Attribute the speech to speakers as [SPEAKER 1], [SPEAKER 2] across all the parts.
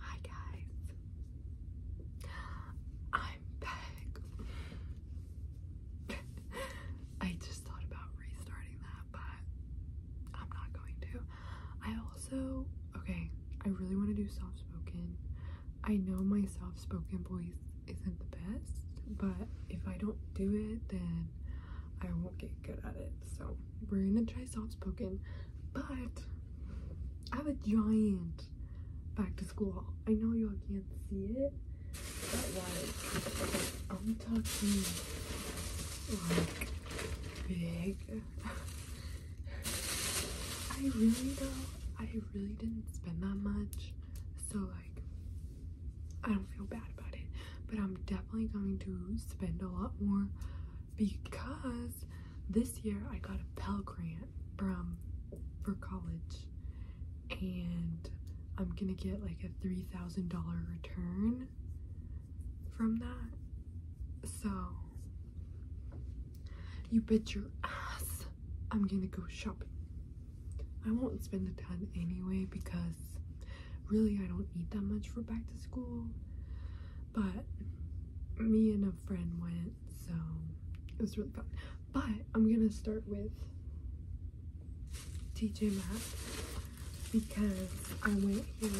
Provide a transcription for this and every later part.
[SPEAKER 1] Hi guys, I'm back. I just thought about restarting that, but I'm not going to. I also, okay, I really want to do soft spoken. I know my soft spoken voice isn't the best, but if I don't do it, then I won't get good at it. So we're gonna try soft spoken, but I have a giant back to school haul. I know y'all can't see it, but like, I'm talking like big. I really though, I really didn't spend that much, so like, I don't feel bad about it, but I'm definitely going to spend a lot more because this year I got a Pell Grant from for college and I'm gonna get like a $3,000 return from that. So you bet your ass I'm gonna go shopping. I won't spend a ton anyway because really I don't need that much for back to school. But me and a friend went, so it was really fun. But I'm gonna start with TJ Maxx because I went here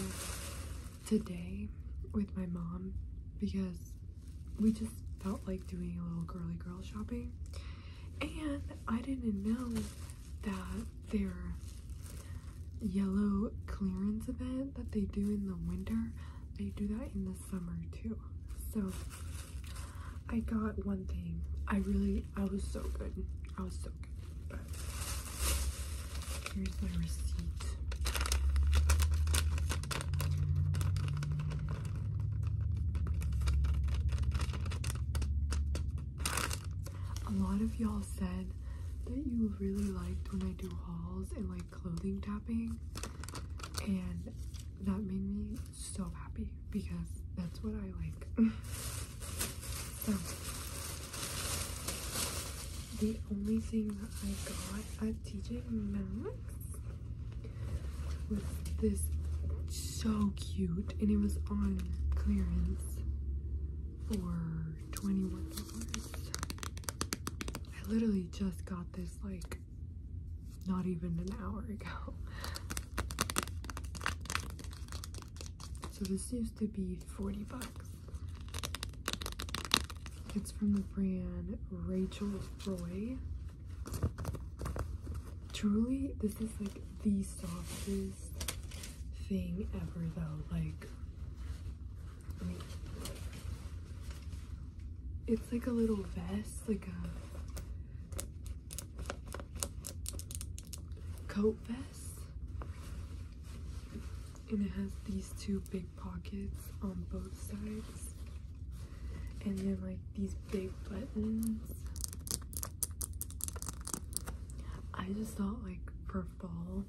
[SPEAKER 1] today with my mom because we just felt like doing a little girly girl shopping and I didn't know that there yellow clearance event that they do in the winter, they do that in the summer too. So I got one thing. I really, I was so good. I was so good. But here's my receipt. A lot of y'all said that you really liked when I do hauls and like clothing tapping and that made me so happy because that's what I like. the only thing that I got at TJ Maxx was this so cute and it was on clearance for $21. I literally just got this like not even an hour ago. So this used to be 40 bucks. It's from the brand Rachel Roy. Truly, this is like the softest thing ever though. Like it's like a little vest, like a coat vest. And it has these two big pockets on both sides. And then like these big buttons. I just thought like for fall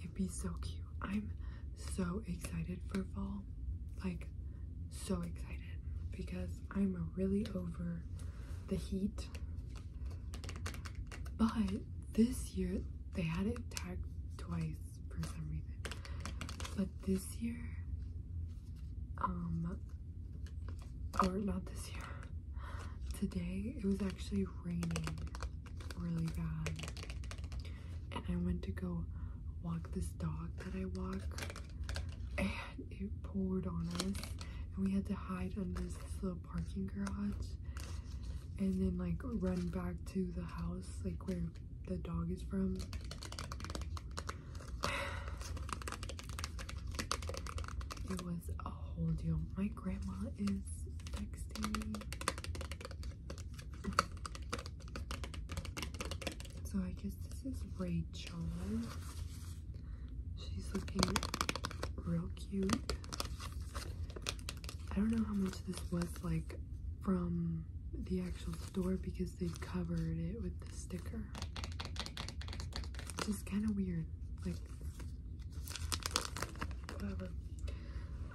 [SPEAKER 1] It'd be so cute. I'm so excited for fall. Like, so excited because I'm really over the heat. But this year, they had it tagged twice for some But this year, um, or not this year, today it was actually raining really bad. And I went to go walk this dog that I walk, and it poured on us. And we had to hide under this little parking garage and then like run back to the house, like where the dog is from. It was a whole deal. My grandma is texting so I guess this is Rachel. She's looking real cute. I don't know how much this was like from the actual store because they covered it with the sticker. Which is kind of weird. Like, whatever.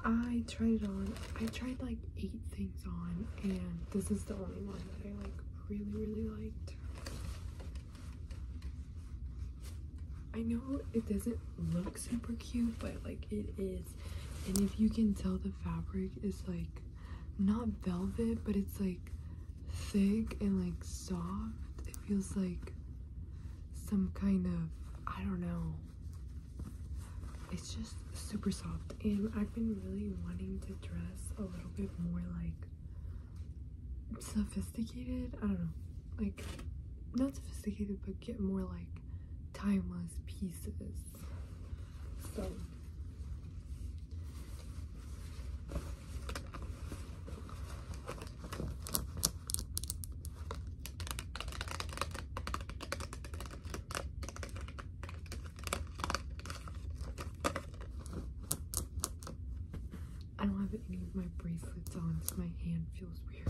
[SPEAKER 1] I tried it on. I tried like eight things on, and this is the only one that I like really, really liked. I know it doesn't look super cute, but like it is. And if you can tell, the fabric is like not velvet, but it's like thick and like soft. It feels like some kind of, I don't know, it's just super soft and I've been really wanting to dress a little bit more like sophisticated I don't know like not sophisticated but get more like timeless pieces so I don't have any of my bracelets on, so my hand feels weird.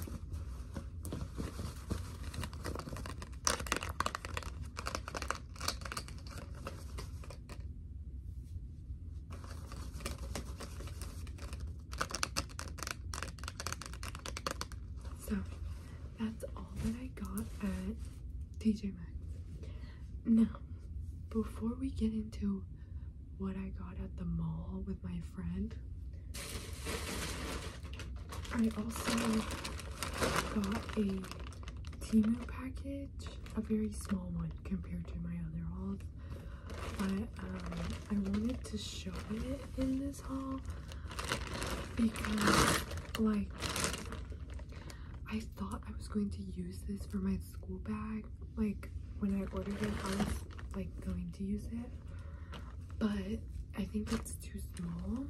[SPEAKER 1] So that's all that I got at TJ Max. Now, before we get into what I got at the mall with my friend, I also got a Timu package, a very small one compared to my other hauls. But um, I wanted to show it in this haul because, like, I thought I was going to use this for my school bag. Like, when I ordered it, I was like going to use it, but I think it's too small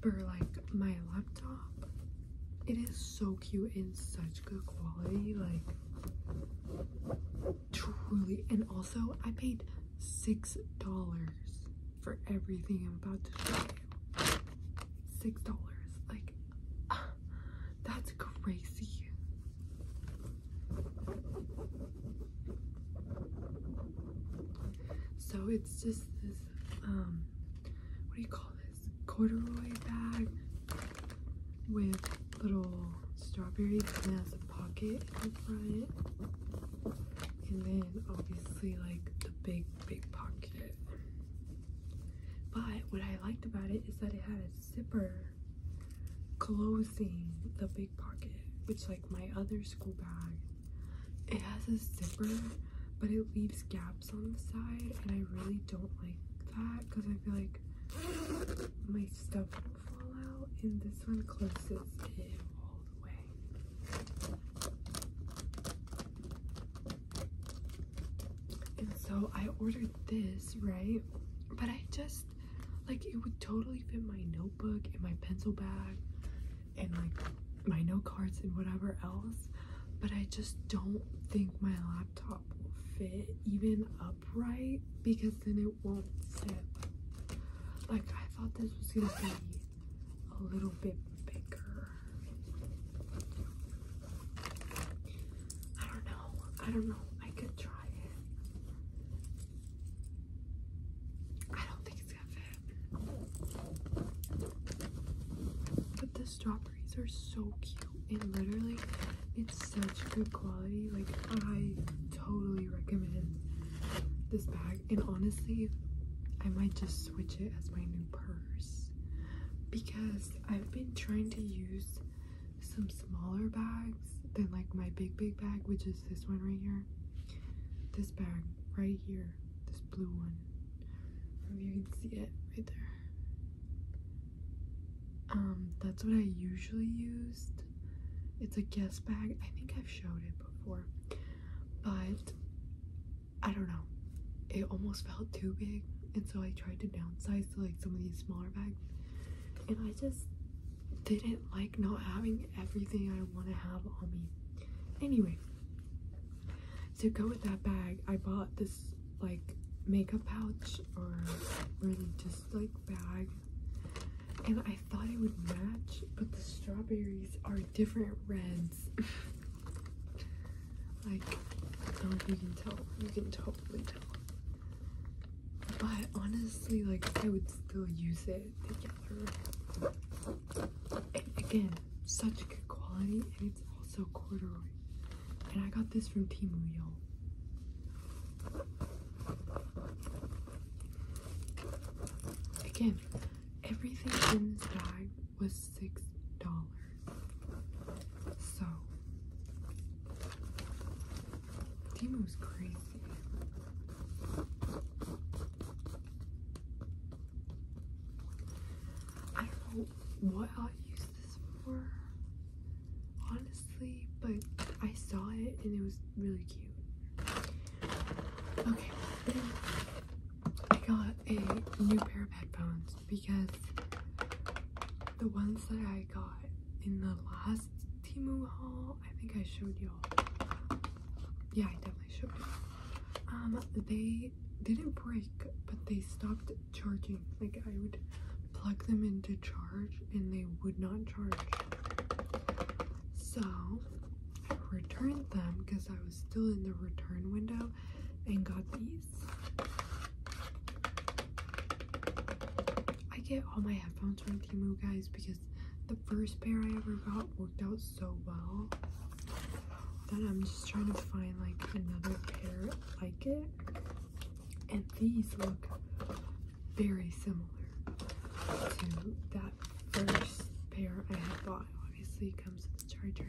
[SPEAKER 1] for like my laptop. It is so cute and such good quality, like truly. And also, I paid six dollars for everything I'm about to show you. Six dollars, like ah, that's crazy. So it's just this um, what do you call this? Corduroy bag with little strawberry that has a pocket in the front. And then obviously like the big, big pocket. But what I liked about it is that it had a zipper closing the big pocket, which like my other school bag, it has a zipper, but it leaves gaps on the side. And I really don't like that because I feel like my stuff fallout, and this one closes it all the way. And so I ordered this, right? But I just like it would totally fit my notebook and my pencil bag and like my note cards and whatever else. But I just don't think my laptop will fit even up up right because then it won't zip. Like I thought this was gonna be a little bit bigger. I don't know. I don't know. I could try it. I don't think it's gonna fit. But the strawberries are so cute and literally it's such good quality. Like, I totally recommend this bag. And honestly, I might just switch it as my new purse because I've been trying to use some smaller bags than like my big, big bag, which is this one right here. This bag right here, this blue one. if you can see it right there. Um, that's what I usually used it's a guest bag. I think I've showed it before, but I don't know. It almost felt too big, and so I tried to downsize to like some of these smaller bags, and I just didn't like not having everything I want to have on me. Anyway, to go with that bag, I bought this like makeup pouch or really just like bag and I thought it would match, but the strawberries are different reds. like, I don't know you can tell. You can totally tell. But honestly, like, I would still use it together. again, such good quality, and it's also corduroy. And I got this from y'all. Again, everything in this bag was six dollars. So Dima was crazy. I don't know what i use this for. Honestly honestly, but I saw it and it was really cute. Okay, then I got a new pair of headphones because the ones that I got in the last Timu haul, I think I showed y'all. Yeah, I definitely showed you. Um, they didn't break, but they stopped charging. Like I would plug them into charge and they would not charge. So I returned them because I was still in the return window and got these. I get all my headphones from Timu guys because the first pair I ever got worked out so well that I'm just trying to find like another pair like it. And these look very similar to that first pair I had bought. Obviously, it comes with a charger,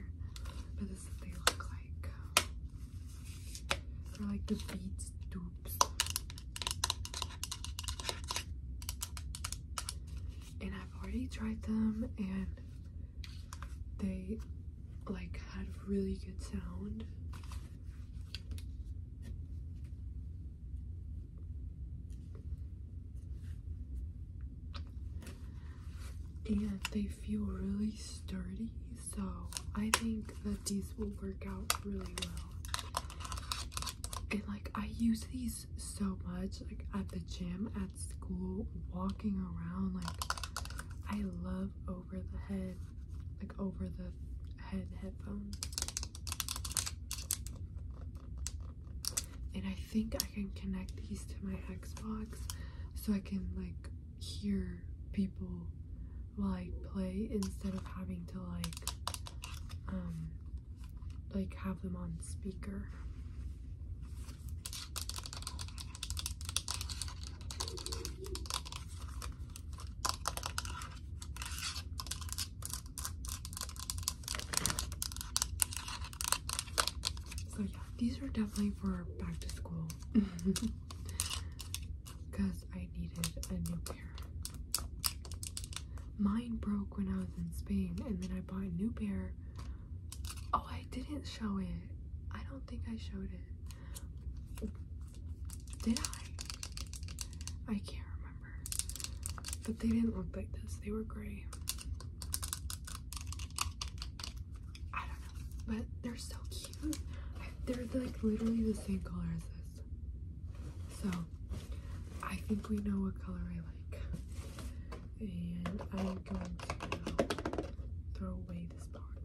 [SPEAKER 1] but this they look like. They're like the Beats dupes. And I've already tried them, and they like had really good sound and they feel really sturdy so I think that these will work out really well and like I use these so much like at the gym at school walking around like I love over the head like over the head headphones and I think I can connect these to my Xbox so I can like hear people while I play instead of having to like um, like have them on speaker. So yeah, these are definitely for back to school because I needed a new pair. Mine broke when I was in Spain and then I bought a new pair. Oh, I didn't show it. I don't think I showed it. Did I? I can't remember. But they didn't look like this, they were gray. I don't know, but they're so cute. They're like literally the same color as this. So I think we know what color I like. And I'm going to throw away this box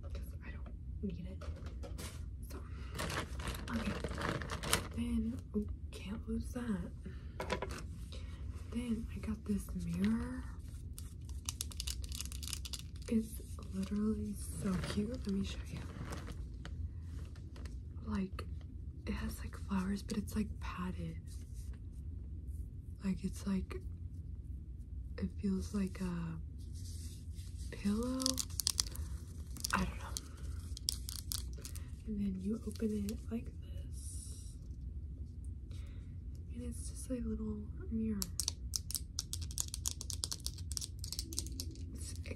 [SPEAKER 1] because I don't need it. So, okay. Then, can't lose that. Then I got this mirror. It's literally so cute. Let me show you. Like, it has like flowers, but it's like padded. Like, it's like, it feels like a pillow. I don't know. And then you open it like this. And it's just a little mirror.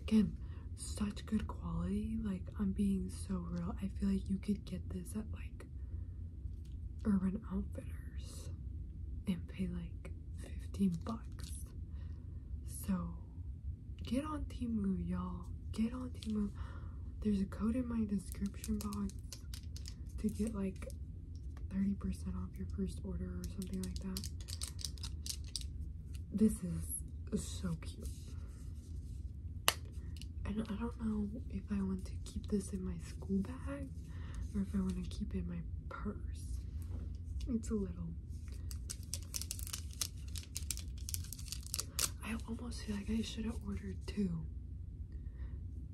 [SPEAKER 1] again, such good quality. Like, I'm being so real. I feel like you could get this at like Urban Outfitters and pay like 15 bucks. So Get on Timu, y'all. Get on Timu. There's a code in my description box to get like 30% off your first order or something like that. This is so cute. And I don't know if I want to keep this in my school bag or if I want to keep it in my purse. It's a little I almost feel like I should have ordered two.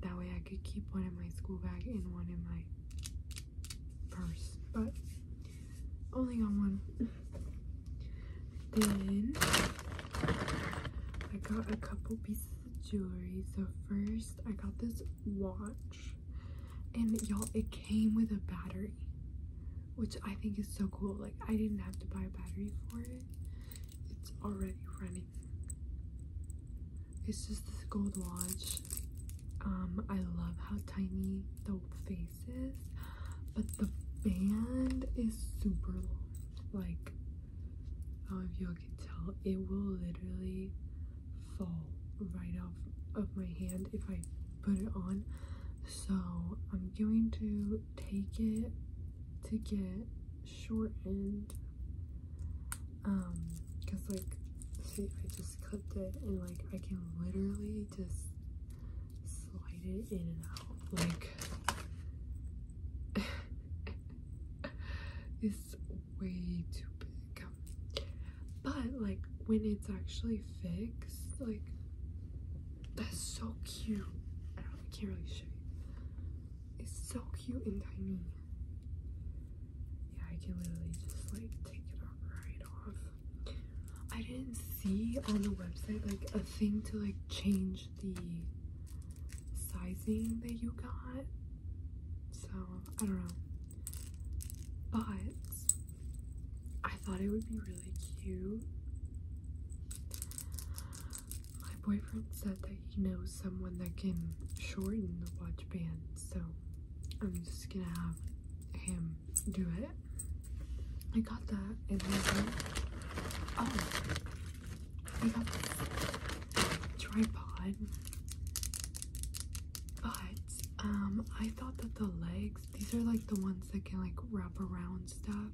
[SPEAKER 1] That way I could keep one in my school bag and one in my purse. But only got one. Then I got a couple pieces of jewelry. So first I got this watch. And y'all, it came with a battery which I think is so cool. Like, I didn't have to buy a battery for it, it's already running. It's just this gold watch. Um, I love how tiny the face is, but the band is super long. Like, I do if y'all can tell, it will literally fall right off of my hand if I put it on. So I'm going to take it to get shortened. Um, cause like, see, I just clipped it and like I can literally just slide it in and out. Like, it's way too big. But like when it's actually fixed like that's so cute i can't really show you it's so cute and tiny yeah i can literally just like take it right off i didn't see on the website like a thing to like change the sizing that you got so i don't know but I thought it would be really cute. My boyfriend said that he knows someone that can shorten the watch band, so I'm just gonna have him do it. I got that in my Oh, I got tripod, but um, I thought that the legs. These are like the ones that can like wrap around stuff.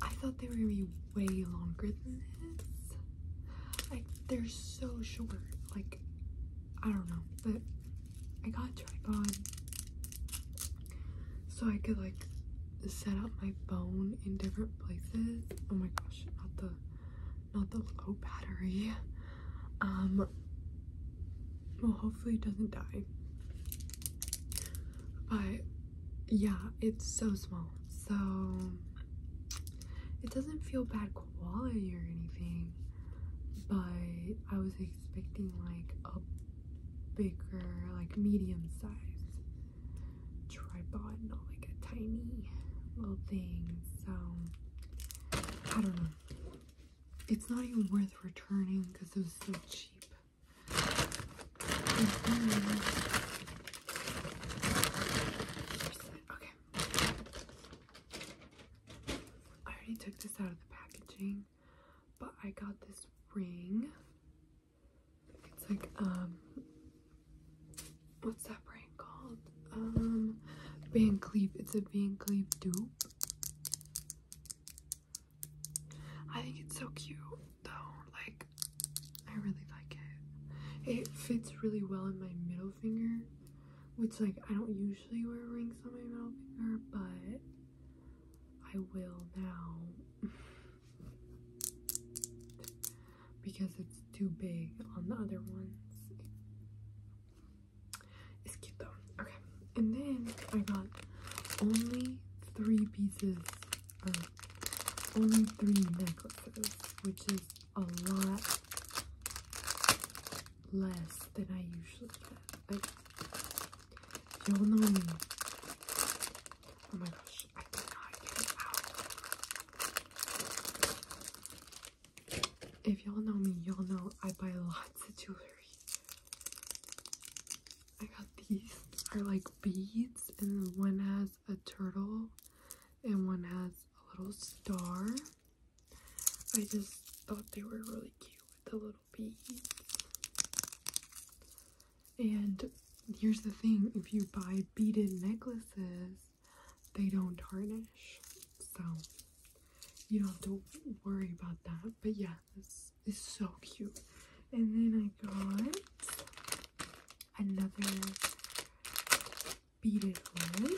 [SPEAKER 1] I thought they were gonna be way longer than this. Like they're so short. Like I don't know, but I got a tripod so I could like set up my phone in different places. Oh my gosh, not the not the low battery. Um well hopefully it doesn't die but yeah it's so small so it doesn't feel bad quality or anything but i was expecting like a bigger like medium size tripod not like a tiny little thing so i don't know it's not even worth returning because it was so cheap. Mm-hmm. Okay. I already took this out of the packaging, but I got this ring. It's like, um, what's that brand called? Um, Van Cleef. It's a Van Cleef dupe. I think it's so cute though. Like, I really like it. It fits really well in my middle finger, which like I don't usually wear rings on my middle finger, but I will now because it's too big on the other ones. It's cute though. Okay, and then I got only three pieces or only three necklaces, which is a lot less than I usually get. y'all know me. Oh my gosh, I cannot get out. If y'all know me, y'all know I buy lots of jewelry. I got these are like beads and one has a turtle and one has a little star. I just thought they were really cute with the little beads. And here's the thing, if you buy beaded necklaces, they don't tarnish. So you don't have to worry about that. But yeah, this is so cute. And then I got another beaded one.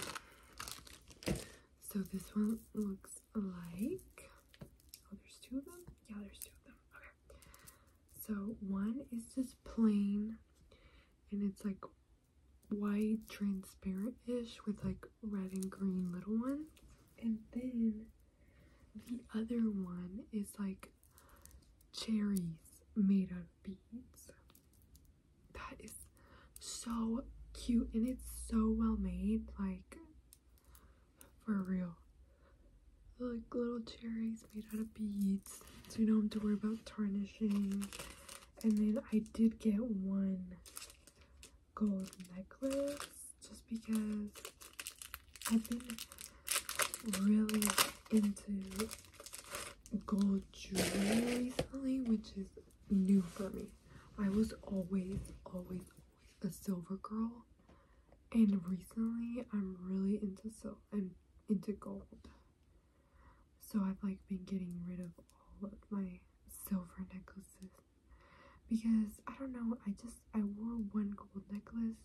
[SPEAKER 1] So this one looks like, oh, there's two of them? Yeah, there's two of them. Okay. So one is just plain and it's like white transparent-ish with like red and green little ones and then the other one is like cherries made out of beads. That is so cute and it's so well made, like for real. Like little cherries made out of beads, so you don't have to worry about tarnishing. And then I did get one gold necklace just because I've been really into gold jewelry recently, which is new for me. I was always, always, always a silver girl. And recently, I'm really into so I'm into gold. So I've like been getting rid of all of my silver necklaces because I don't know, I just I wore one gold necklace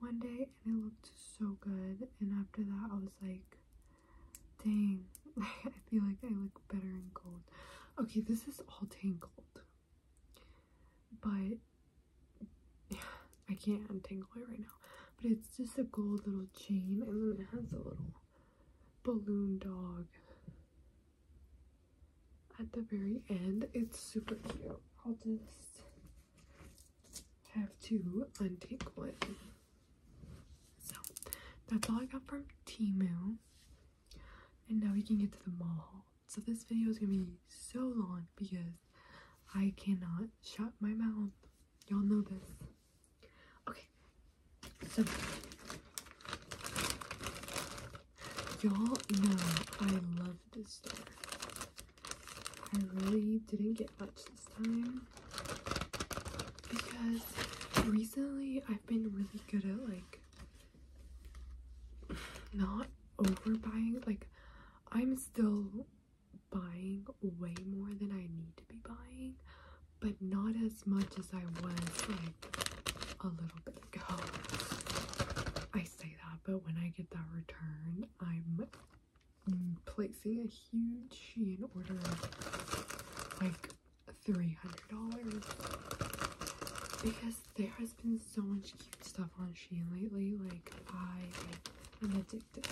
[SPEAKER 1] one day and it looked so good and after that I was like dang I feel like I look better in gold. Okay, this is all tangled. But yeah, I can't untangle it right now. But it's just a gold little chain and then it has a little balloon dog at the very end. It's super cute. I'll just have to untake one. So that's all I got from Timu. And now we can get to the mall So this video is gonna be so long because I cannot shut my mouth. Y'all know this. Okay, so, y'all know I love this store. I really didn't get much this time because recently I've been really good at like not overbuying. Like, I'm still buying way more than I need to be buying, but not as much as I was like a little bit ago. I say that, but when I get that return, I'm placing a huge Shein order of like $300 because there has been so much cute stuff on Shein lately. Like, I am addicted.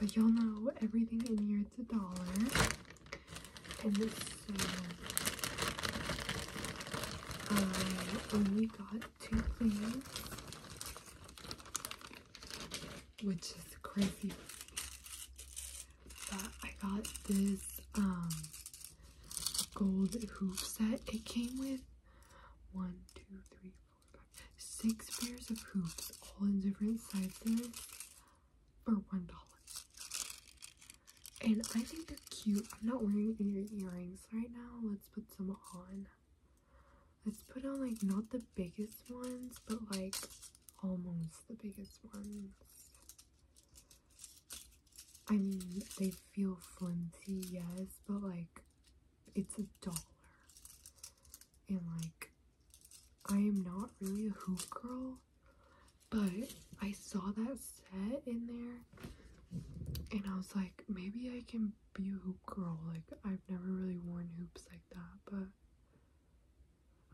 [SPEAKER 1] But y'all know everything in here it's a dollar. And so I um, only got two things. Which is crazy. But I got this um gold hoop set. It came with one, two, three, four, five, six pairs of hoops, all in different sizes for one dollar. And I think they're cute. I'm not wearing any earrings right now. Let's put some on. Let's put on like not the biggest ones, but like almost the biggest ones. I mean, they feel flimsy, yes, but like it's a dollar. And like, I am not really a hoop girl, but I saw that set in there and I was like, maybe I can be a hoop girl. Like, I've never really worn hoops like that, but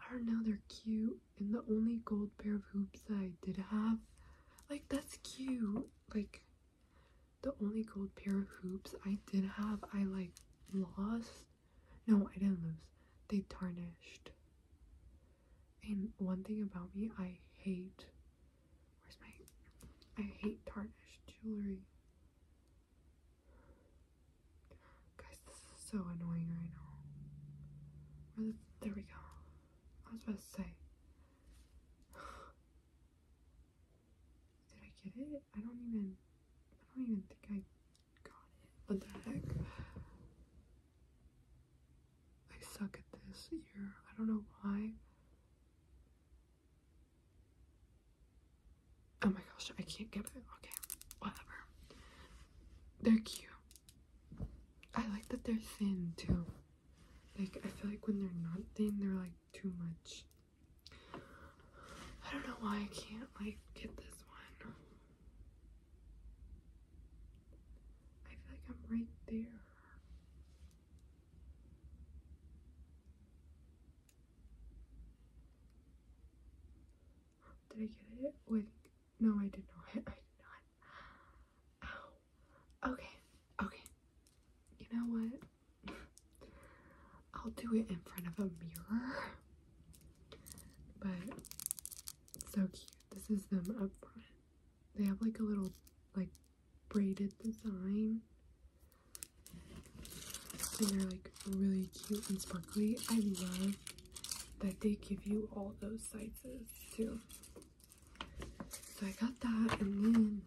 [SPEAKER 1] I don't know, they're cute. And the only gold pair of hoops I did have, like, that's cute. Like, the only gold pair of hoops I did have, I, like, lost. No, I didn't lose. They tarnished. And one thing about me, I hate. Where's my. I hate tarnished jewelry. Guys, this is so annoying right now. Where's, there we go. I was about to say. Did I get it? I don't even. I don't even think I got it. What the heck? I suck at this year. I don't know why. Oh my gosh, I can't get it. Okay, whatever they're cute. I like that they're thin too. Like I feel like when they're not thin, they're like too much. I don't know why I can't like get this one. I feel like I'm right there. Did I get it? Wait, no, I did not. I did not. Ow. Okay. Okay. You know what? I'll do it in front of a mirror. But so cute. This is them up front. They have like a little like braided design. And they're like really cute and sparkly. I love that they give you all those sizes too. So I got that, and then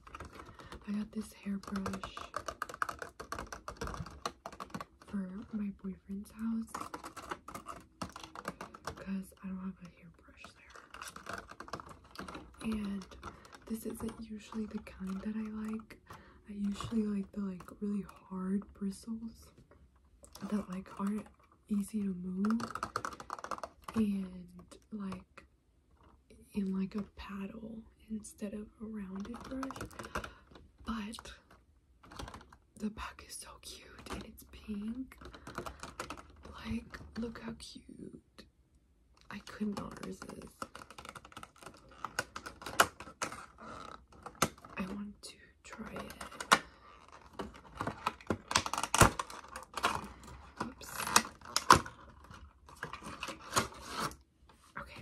[SPEAKER 1] I got this hairbrush for my boyfriend's house because I don't have a hairbrush there. And this isn't usually the kind that I like. I usually like the like really hard bristles that like aren't easy to move and like in like a paddle instead of a rounded brush but the pack is so cute and it's pink like look how cute i could not resist i want to triad. Oops. Okay.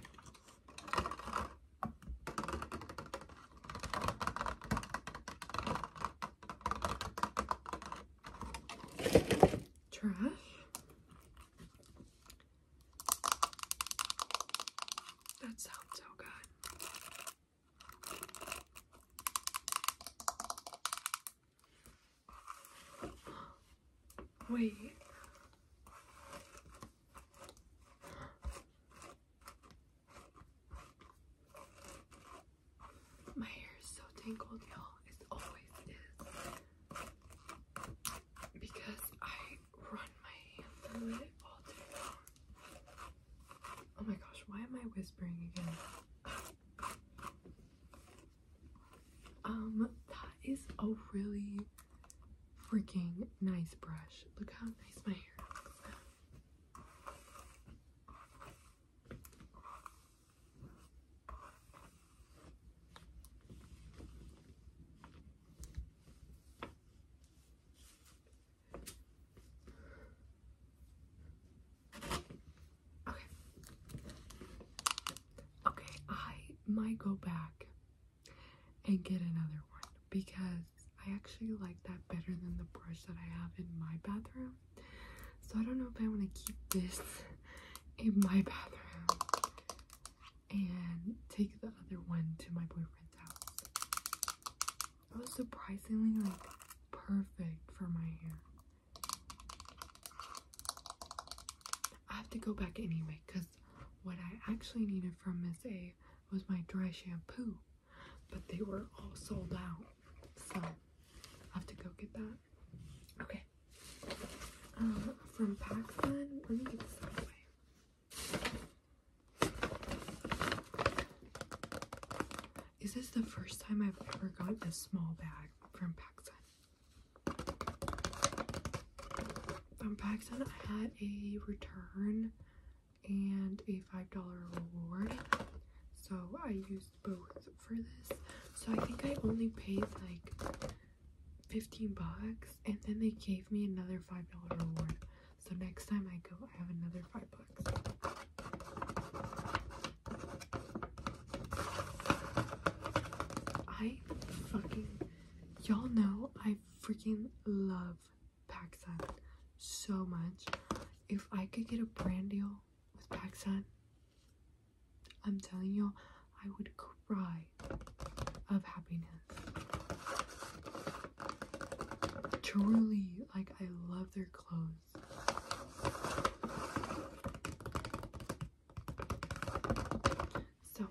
[SPEAKER 1] Trash. That sounds so good. Wait. My hair is so tangled, y'all. It always is. Because I Oh my gosh, why am I whispering again? Um, that is a really freaking nice brush. Look how nice my hair looks Okay. Okay, I might go back and get another one because I actually like that better than the brush that I have in my bathroom. So I don't know if I want to keep this in my bathroom and take the other one to my boyfriend's house. It was surprisingly like perfect for my hair. I have to go back anyway because what I actually needed from Miss A was my dry shampoo, but they were all sold out. So I have to go get that. Okay. Um, from Paxton, let me get this out of the way. Is this the first time I've ever got a small bag from PacSun? From PacSun, I had a return and a $5 reward. So I used both for this. So I think I only paid like 15 bucks and then they gave me another $5 reward. So next time I go, I have another five bucks. I fucking y'all know I freaking love PacSun so much. If I could get a brand deal with PacSun, I'm telling y'all, I would cry of happiness. Truly, like I love their clothes. So,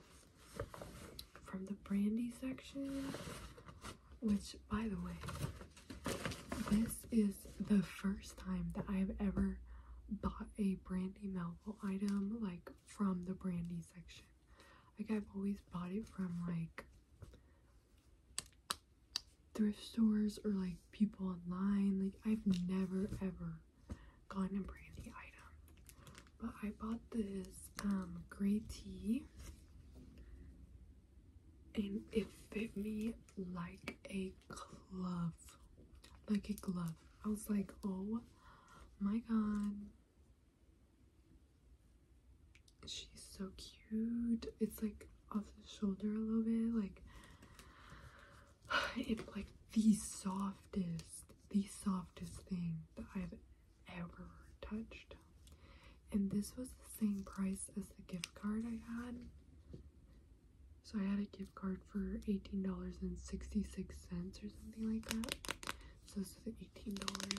[SPEAKER 1] from the brandy section, which by the way, this is the first time that I have ever bought a Brandy Melville item like from the brandy section. Like I've always bought it from like thrift stores or like people online. Like I've never ever gotten a brandy item. But I bought this um, gray tee, and it fit me like a glove. Like a glove. I was like, oh my god She's so cute. It's like off the shoulder a little bit. Like it's like the softest, the softest thing that I've ever touched. And this was the same price as the gift card I had. So I had a gift card for $18.66 or something like that. So this is $18.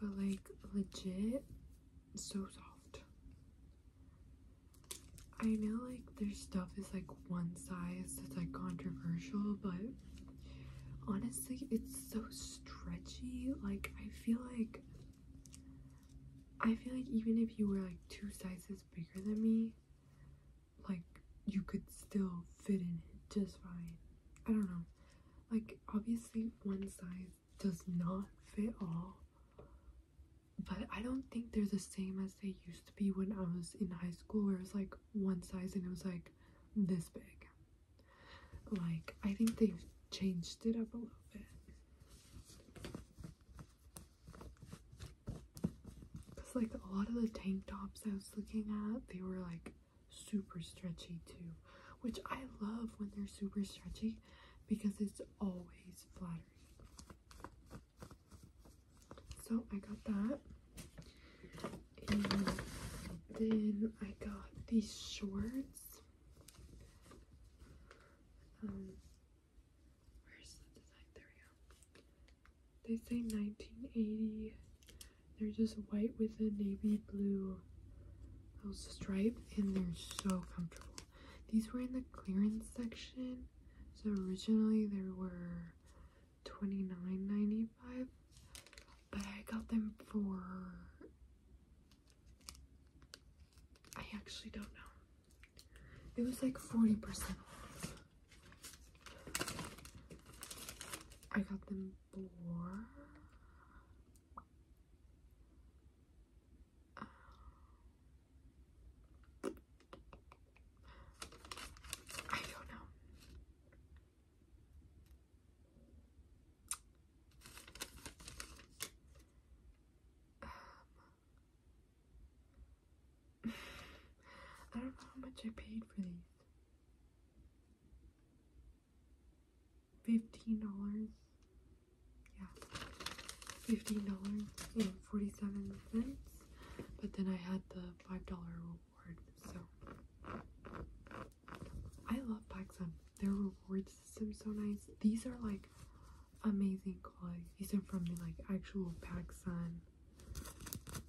[SPEAKER 1] But like legit, so soft. I know like their stuff is like one size that's like controversial, but honestly, it's so stretchy. Like I feel like I feel like even if you were like two sizes bigger than me, like you could still fit in it just fine. I don't know. Like obviously one size does not fit all. But I don't think they're the same as they used to be when I was in high school where it was like one size and it was like this big. Like I think they've changed it up a little bit. Cause like a lot of the tank tops I was looking at, they were like super stretchy too, which I love when they're super stretchy because it's always flattering. So I got that. And then I got these shorts. Um, they say 1980. They're just white with a navy blue little stripe, and they're so comfortable. These were in the clearance section, so originally they were 29.95, but I got them for I actually don't know. It was like 40% off. I got them for I don't know. Um, I don't know how much I paid for these. Fifteen dollars. Yeah. Fifteen dollars and forty-seven cents. But then I had the five dollar reward, so I love Pacsun. Their reward system is so nice. These are like amazing quality. These are from the like actual PacSun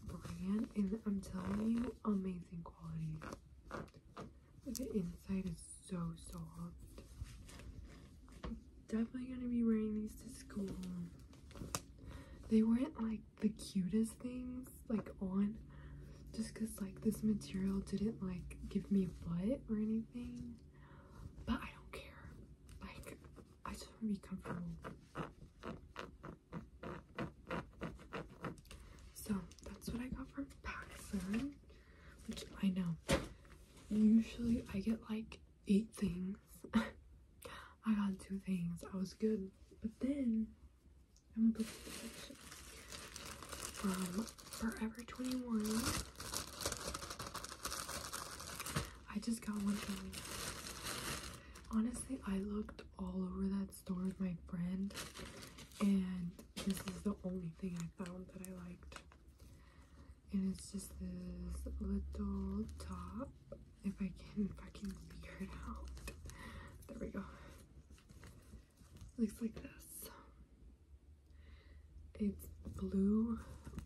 [SPEAKER 1] brand, and I'm telling you, amazing quality. The inside is so soft. I'm definitely gonna be wearing these to school. They weren't like the cutest things like on, just cause like this material didn't like give me a butt or anything. But I don't care. Like I just want to be comfortable. So that's what I got from Paxson, which I know. Usually I get like eight things. I got two things. I was good. But then I'm gonna go from Forever 21. I just got one going. Honestly, I looked all over that store with my friend, and this is the only thing I found that I liked. And it's just this little top. If I can fucking figure it out. There we go. Looks like this. It's blue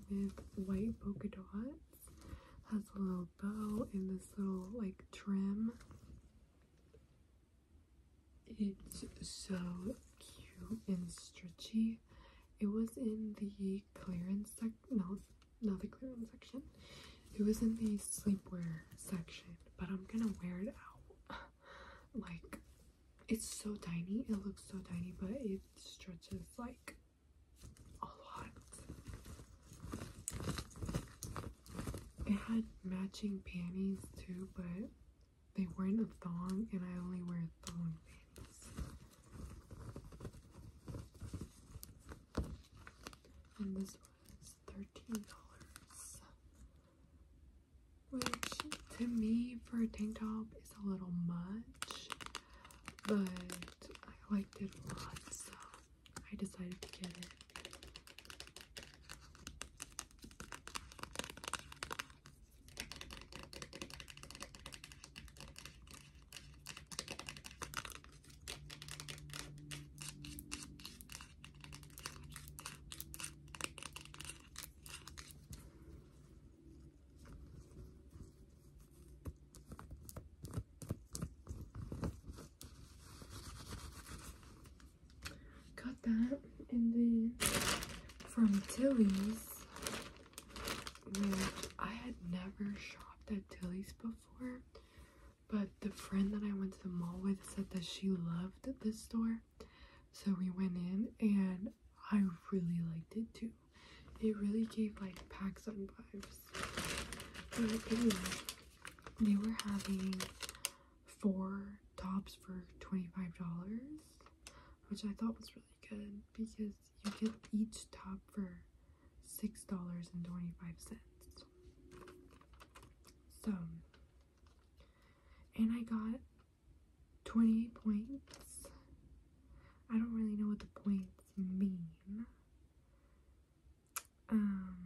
[SPEAKER 1] with white polka dot has a little bow and this little like trim. It's so cute and stretchy. It was in the clearance sec no, not the clearance section. It was in the sleepwear section, but I'm gonna wear it out. like it's so tiny, it looks so tiny, but it stretches like a lot. It had matching panties too, but they weren't a thong, and I only wear thong panties. And this was $13. Which, to me, for a tank top is a little much but I liked it a lot, so I decided to get it. Got that in the from Tilly's, which I had never shopped at Tilly's before, but the friend that I went to the mall with said that she loved this store, so we went in and I really liked it too. It really gave like pack some vibes. But anyway, they were having four tops for $25, which I thought was really good because you get each top for $6.25. So, and I got 28 points. I don't really know what the points mean. Um,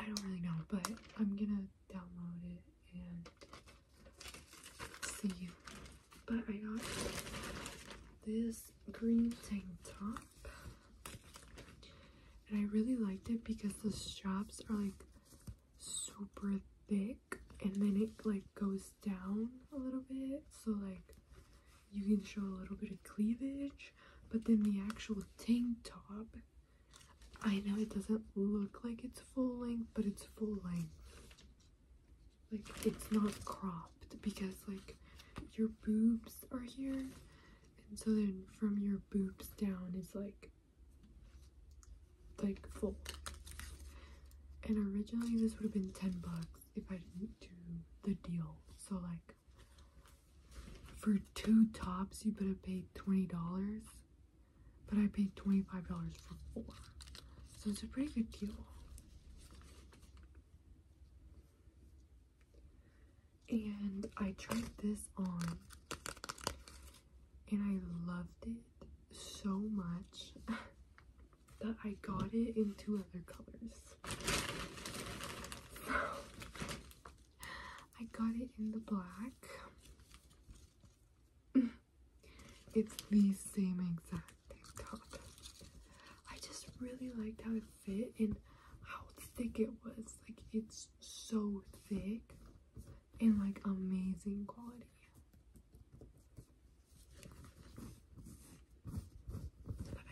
[SPEAKER 1] I don't really know, but I'm gonna download it and see. But I got this green tank top, and I really liked it because the straps are like super thick and then it like goes down a little bit so like you can show a little bit of cleavage but then the actual tank top I know it doesn't look like it's full length but it's full length like it's not cropped because like your boobs are here and so then from your boobs down it's like like full. And originally this would have been 10 bucks if I didn't do the deal. So like for two tops you would have paid $20, but I paid $25 for four. So it's a pretty good deal. And I tried this on and I loved it so much. But I got it in two other colors. I got it in the black. it's the same exact tank top. I just really liked how it fit and how thick it was. Like it's so thick and like amazing quality.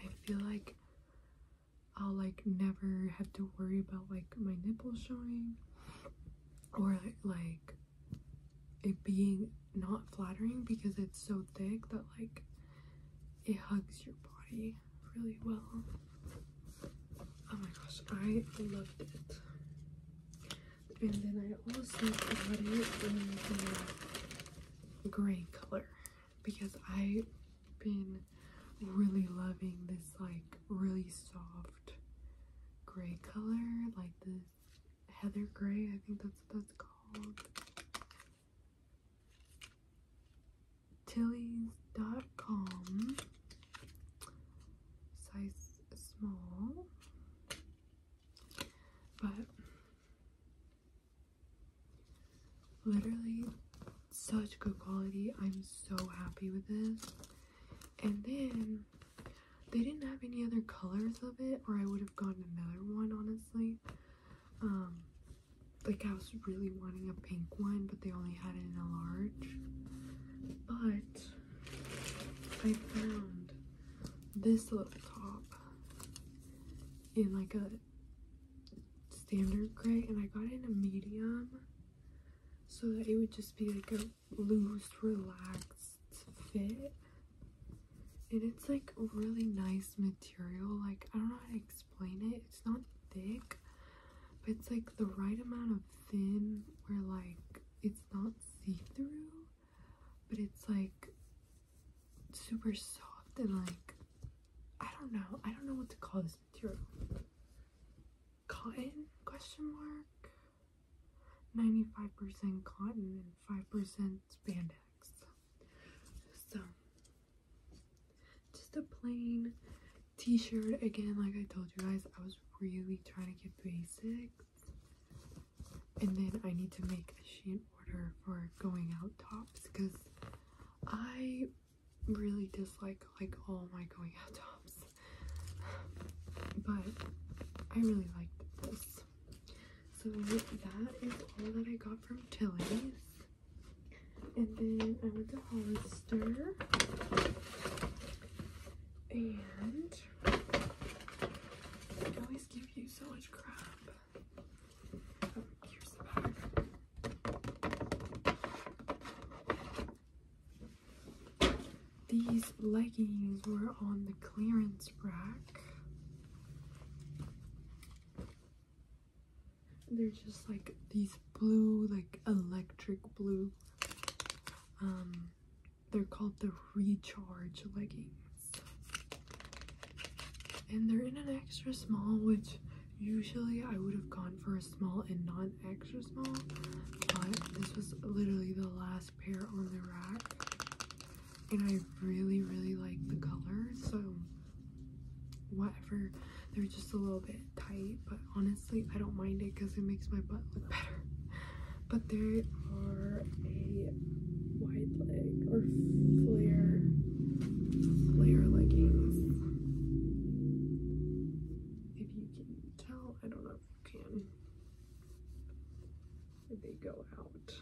[SPEAKER 1] I feel like I'll like never have to worry about like my nipples showing or like it being not flattering because it's so thick that like it hugs your body really well. Oh my gosh, I loved it. And then I also got it in the gray color because I've been really loving this like really soft gray color, like this heather gray, I think that's what that's called. Tillys.com size small but literally such good quality. I'm so happy with this. And then they didn't have any other colors of it or I would have gotten another one honestly. Um like I was really wanting a pink one but they only had it in a large. But I found this little top in like a standard gray and I got it in a medium so that it would just be like a loose relaxed fit and it's like really nice material like I don't know how to explain it it's not thick but it's like the right amount of thin where like it's not see-through but it's like super soft and like I don't know. I don't know what to call this material. Cotton? Question mark. 95% cotton and 5% spandex. So just a plain t-shirt again like I told you guys I was really trying to get basic and then I need to make a sheet order for going out tops because I really dislike like all my going out tops. But I really liked this. So that is all that I got from Tilly's. And then I went to Hollister. And Oh, these leggings were on the clearance rack. They're just like these blue, like electric blue um, they're called the Recharge leggings. And they're in an extra small, which usually I would have gone for a small and not extra small, but this was literally the last pair on the rack. And I really, really like the color, so whatever. They're just a little bit tight, but honestly, I don't mind it because it makes my butt look better but they are a wide leg or flare flare leggings. If you can tell, I don't know if you can. They go out.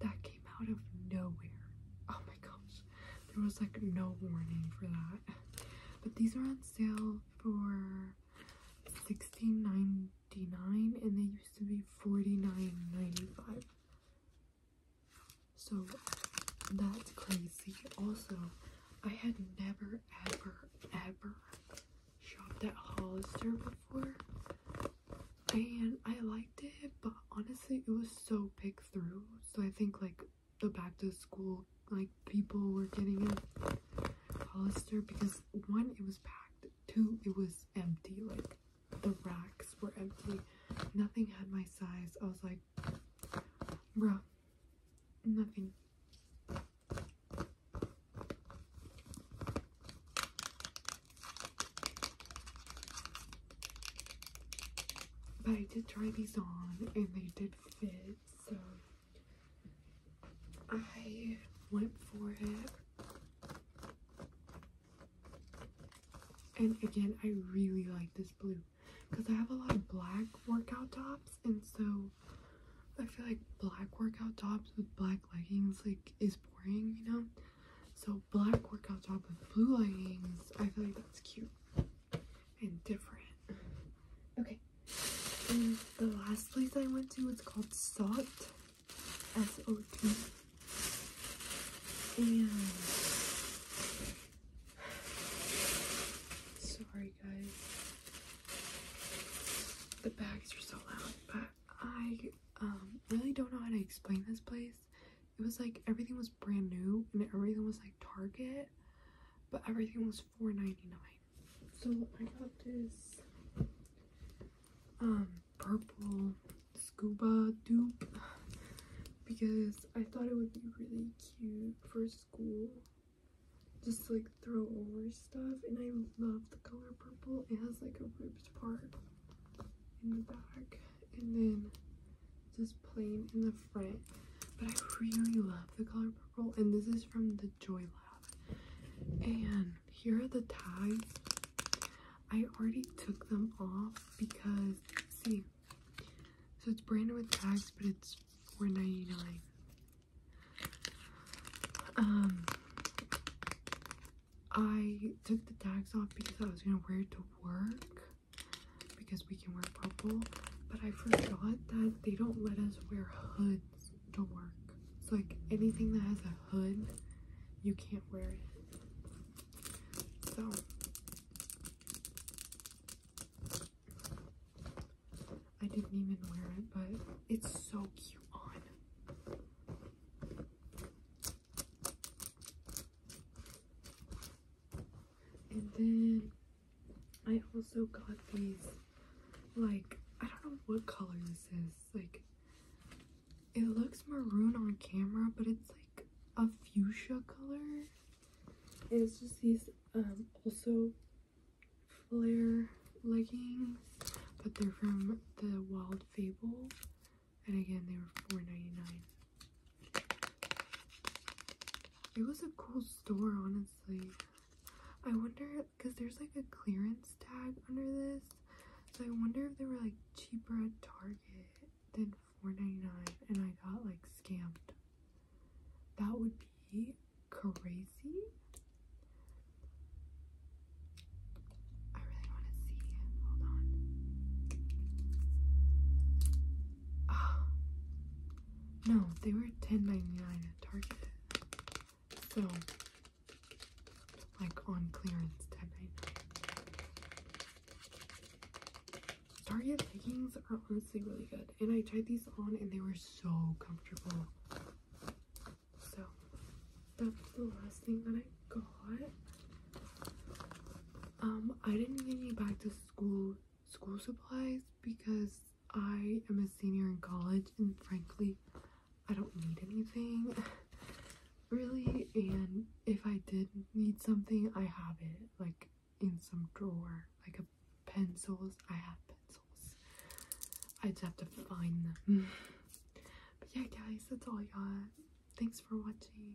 [SPEAKER 1] that came out of nowhere. Oh my gosh. There was like no warning for that. But these are on sale for sixteen ninety nine, and they used to be forty nine ninety five. So that's crazy. Also, I had never ever ever shopped at Hollister before. And I liked it, but honestly it was so pick through. So I think like the back to school like people were getting in Hollister because one it was packed two it was empty like the racks were empty nothing had my size I was like bro nothing but I did try these on and they did fit, so I went for it. And again, I really like this blue because I have a lot of black workout tops, and so I feel like black workout tops with black leggings like is boring, you know. So black workout top with blue leggings, I feel like that's cute and different. Okay. And the last place I went to was called Salt. S-O-T. And sorry guys. The bags are so loud, but I um really don't know how to explain this place. It was like everything was brand new and everything was like Target, but everything was $4.99. So I got this um, purple scuba dupe because I thought it would be really cute for school. Just like throw over stuff and I love the color purple. It has like a ribbed part in the back and then just plain in the front. But I really love the color purple, and this is from the Joy Lab. And here are the tags. I already took them off because see, so it's branded with tags, but it's four ninety nine. Um, I took the tags off because I was gonna wear it to work because we can wear purple. But I forgot that they don't let us wear hoods to work. It's like anything that has a hood, you can't wear it. So I didn't even wear it, but it's so cute on. And then I also got these like I don't know what color this is. Like it looks maroon on camera, but it's like a fuchsia color. it's just these um, also flare leggings, but they're from the Wild Fable. And again, they were $4.99. It was a cool store, honestly. I wonder, because there's like a clearance tag under this. So I wonder if they were like cheaper at Target than $4.99 and I got like scammed. That would be crazy. I really want to see. Hold on. Oh, no, they were $10.99 at Target. So, like on clearance, 10 Target leggings are honestly really good. And I tried these on and they were so comfortable. So, that's the last thing that I got. Um, I didn't get any back to school school supplies because I am a senior in college and frankly, I don't need anything really. And if I did need something, I have it like in some drawer, like a pencils. I have pencils. I just have to find them. but yeah, guys, that's all I got. Thanks for watching.